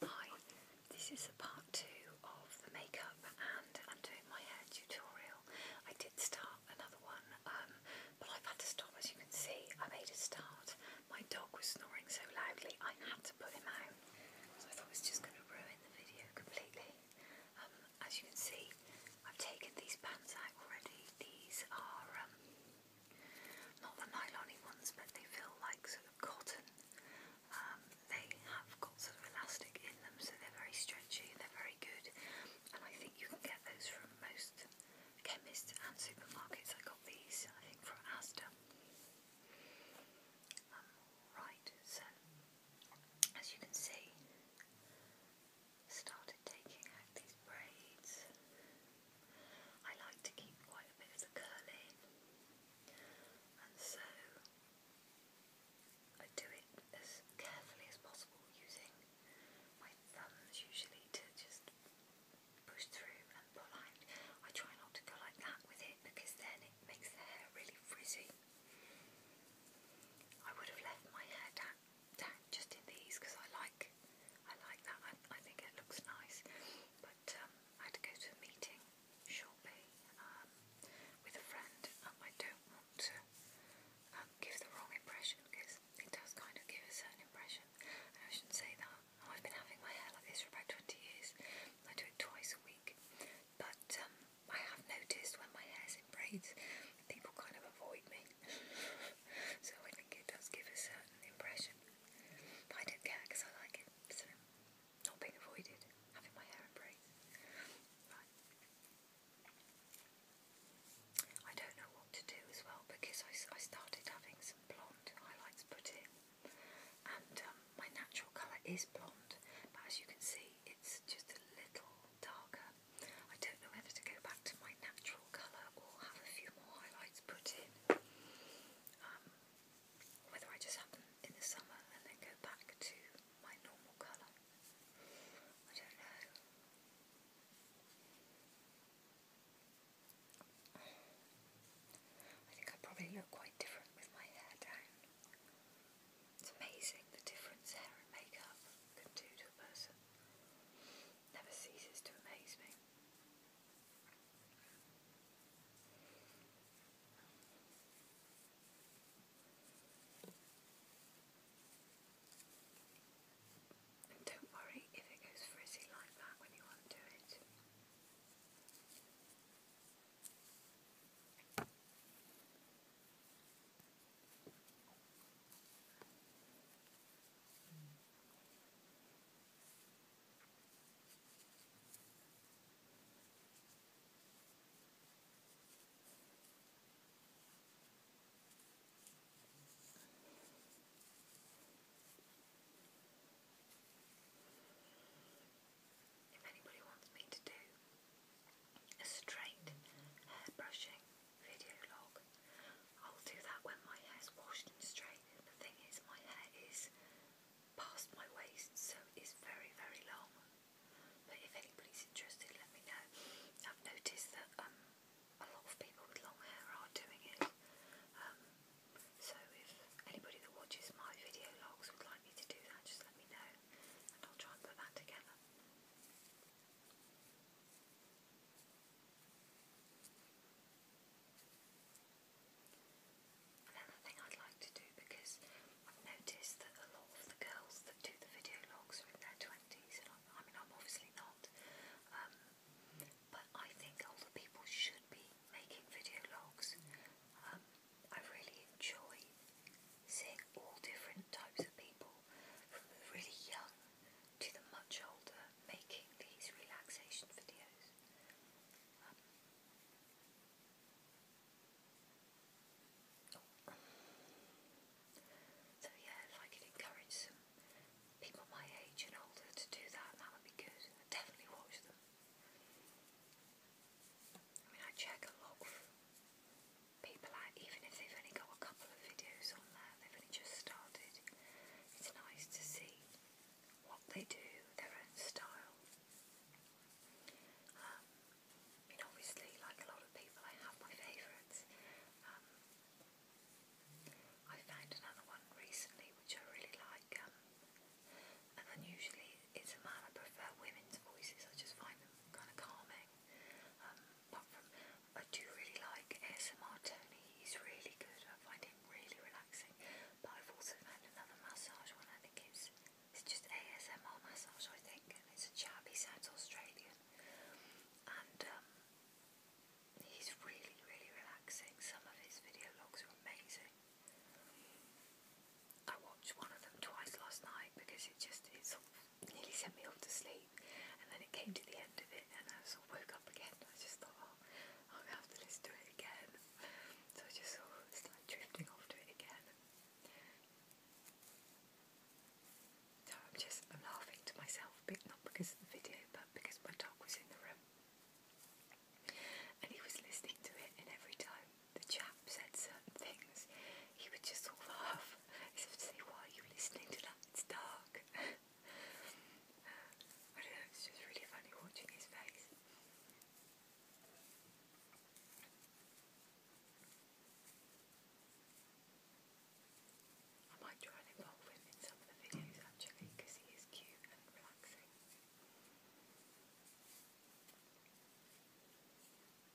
Hi, this is part two of the makeup and I'm doing my hair tutorial. I did start another one um, but I've had to stop as you can see. I made a start. My dog was snoring so loudly I had to put him out. I thought it was just going to ruin the video completely. Um, as you can see I've taken these pants out already. These are um, not the nylony ones, but they feel like sort of cotton. Um, they have got sort of elastic in them, so they're very stretchy, they're very good, and I think you can get those from most chemists and supermarkets. I got these, I think, from Asda. Um, right, so as you can see, started taking these braids. I like to keep quite a bit of the curl in, and so I do it as carefully as possible using my thumbs usually to just push through and pull out. I try not to go like that with it because then it makes the hair really frizzy. I would have left my hair down, down just in these because I like like I like that. I, I think it looks nice. But um, I had to go to a meeting shortly um, with a friend, and I don't want to um, give the wrong impression because it does kind of give a certain impression. And I shouldn't say that. Oh, I've been having my hair like this for about 20 years. I do it twice a week. But um, I have noticed when my hair's in braids, people kind of avoid me so I think it does give a certain impression. I don't care because I like it, so not being avoided, having my hair in braids. I don't know what to do as well because I, I started having some blonde highlights put in, and um, my natural colour is blonde, but as you can see, it's just a little darker. I don't know whether to go back to my natural colour or have a few more highlights put in. Um, whether I just have them in the summer and then go back to my normal colour. I don't know. I think I probably look quite different with my hair down. It's amazing the difference hair and makeup can do to a person never ceases to amaze me. And don't worry if it goes frizzy like that when you undo it. If anybody wants me to do a straight hair brushing video log. I'll do that when my hair's washed and straight. The thing is, my hair is past my waist, so it's very, very long. But if anybody's interested, let me know. I've noticed that um, a lot of people with long hair are doing it. Um, so if anybody that watches my video logs would like me to do that, just let me know, and I'll try and put that together. Another thing I'd like to do because I've noticed that a lot of the girls that do the video logs are in their 20s, i mean, I'm obviously not, um, but I think older people should be making video logs. Um, I really enjoy seeing all different types of people from really young to the much older making these relaxation videos. Um, so yeah, if I could encourage some people my age and older to do that, that would be good. definitely watch them. I mean, I check a lot people out, even if they've only got a couple of videos on there, they've only just started. It's nice to see what they do, their own style. Um, I mean, obviously, like a lot of people, I have my favourites. Um, I found another one recently which I really like, um, and then usually it's a man. I prefer women's voices. I just find them kind of calming. Um, apart from, I do really like ASMR Tony, he's really good, I find him really relaxing, but I've also found another massage one, I think it's, it's just ASMR massage I think, and it's a chap, he sounds Australian, and um, he's really really relaxing, some of his video logs are amazing. I watched one of them twice last night because it just, it sort of nearly sent me off to sleep. And then it came to the end of it, and I sort of woke up again. I just thought, oh, I'm have to listen to it again. So I just sort of started drifting off to it again. So I'm just I'm laughing to myself, but not because of the video, but because my dog was in the room. And he was listening to it, and every time the chap said certain things, he would just all laugh as if say, Why are you listening to that? It's dark. I it's just really funny watching his face. I might try and involve him in some of the videos actually because he is cute and relaxing. Right,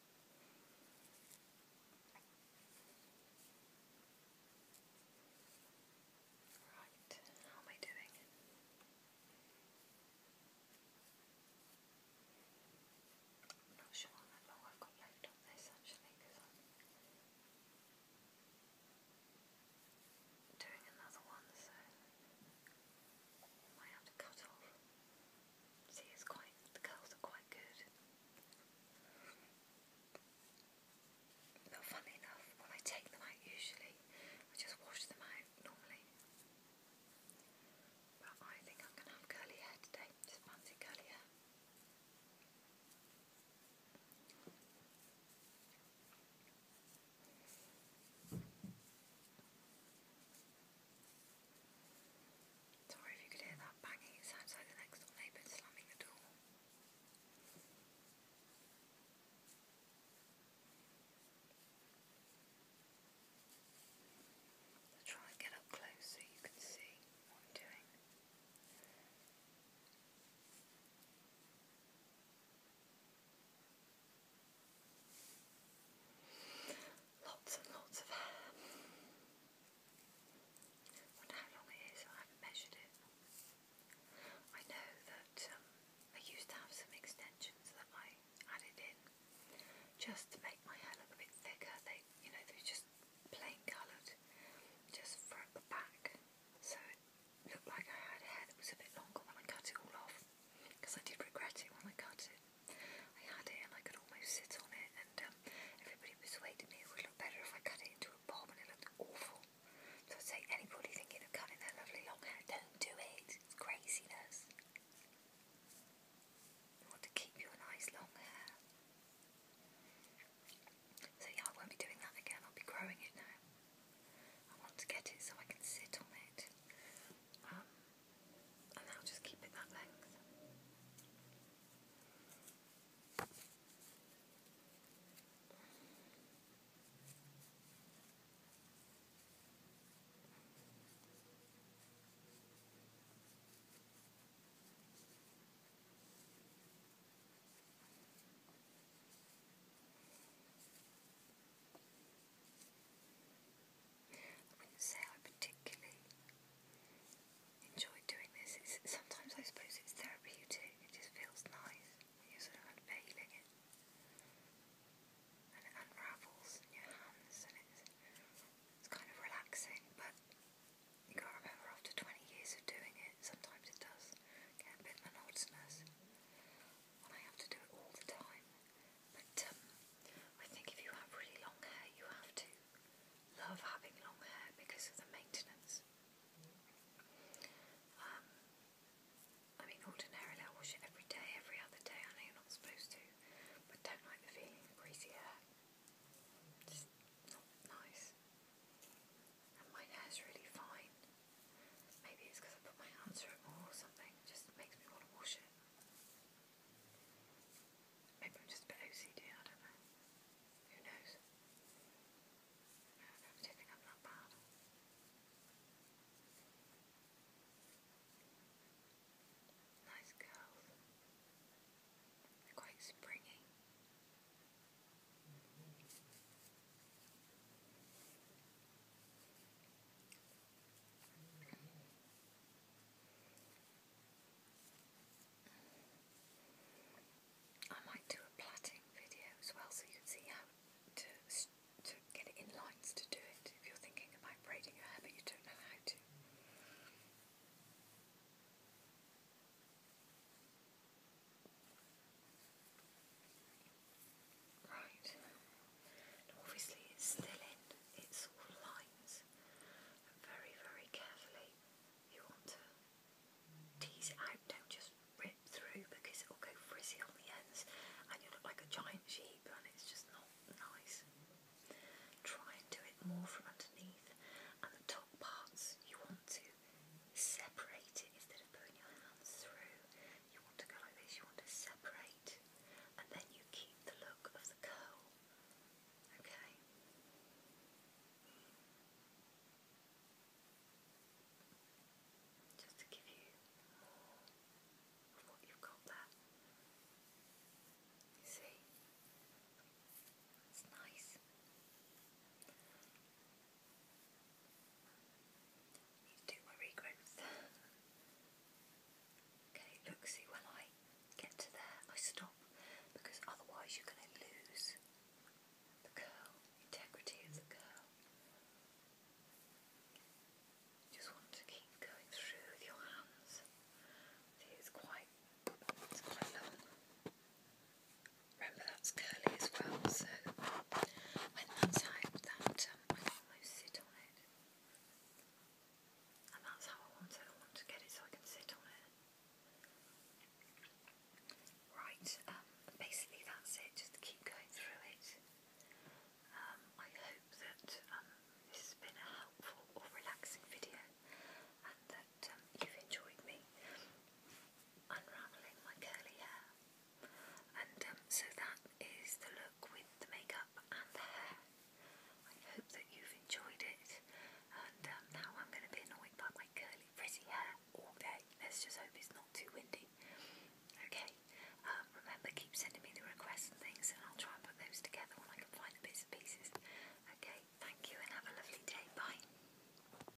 how am I doing? not sure how long I've got left on this actually because I'm doing another one so I have to cut off. See, it's quite, the curls are quite good. But funnily enough, when I take them out usually, I just wash them out normally. But I think I'm going to have curly hair today, just fancy curly hair. Sorry if you could hear that banging, it sounds the next door neighbour slamming the door. I'll try and get up close so you can see what I'm doing. Lots and lots of hair. Wonder how long it is. I haven't measured it. I know that um, I used to have some extensions that I added in just to make my hair look a bit thicker. They, you know, they were just plain coloured, just from the back, so it looked like I had hair that was a bit longer when I cut it all off because I did regret it when I cut it. I had it and I could almost sit on it, and um, everybody persuaded me it would look better if I cut it into a bob, and it looked awful. So I'd say anybody thinking of cutting their lovely long hair, don't do it. It's craziness. want to keep your nice long hair. So yeah, I won't be doing that again. I'll be growing it now. I want to get it so I can sit on it. Um, and I'll just keep it that length. I wouldn't say I particularly enjoy doing this. It's, sometimes I suppose it's therapeutic. It just feels nice. You're sort of unveiling it. And it unravels in your hands and it's, it's kind of relaxing, but you gotta remember after 20 years of doing it, sometimes it does get a bit monotonous. And I have to do it all the time. But um, I think if you have really long hair, you have to love having long hair because of the maintenance. Um, I mean, ordinarily I wash it every day, every other day. I know you're not supposed to, but don't like the feeling of greasy hair. Just not nice. And my hair's really fine. Maybe it's because I put my answer in more or something. It just makes me want to wash it. Maybe I'm just a bit OCD, I don't know. Who knows? I don't think I'm that bad. Nice curls. quite springy. I might do a plaiting video as well so you can see how to, to get it in lines to do it if you're thinking about braiding your hair but you don't know how to. Right. obviously it's still in its sort lines. And very, very carefully you want to tease it out, don't just rip through because it'll go frizzy on the ends and you look like a giant sheep and it's just not nice. Try and do it more from underneath and the top parts you want to separate it instead of putting your hands through you want to go like this, you want to separate, and then you keep the look of the curl. Okay? Just to give you more of what you've got there. see? It's nice. Do my regrowth. okay, look, see when I get there, I stop because otherwise you're going to lose the curl, integrity of the curl. Just want to keep going through with your hands. it's quite, it's quite long. Remember that's curly as well, so when that's hyped that um, I can almost sit on it. And that's how I want it, I want to get it so I can sit on it. Right, um, basically that's it, just keep going through it. Um, I hope that this has been a helpful or relaxing video and that you've enjoyed me unravelling my curly hair. And um, so that is the look with the makeup and the hair. I hope that you've enjoyed it. And um, now I'm going to be annoyed by my curly, frizzy hair all day. Let's just hope it's not too windy. Okay. Um, remember, keep sending me the requests and things, and I'll try and put those together when I can find the bits and pieces. Okay. Thank you, and have a lovely day. Bye.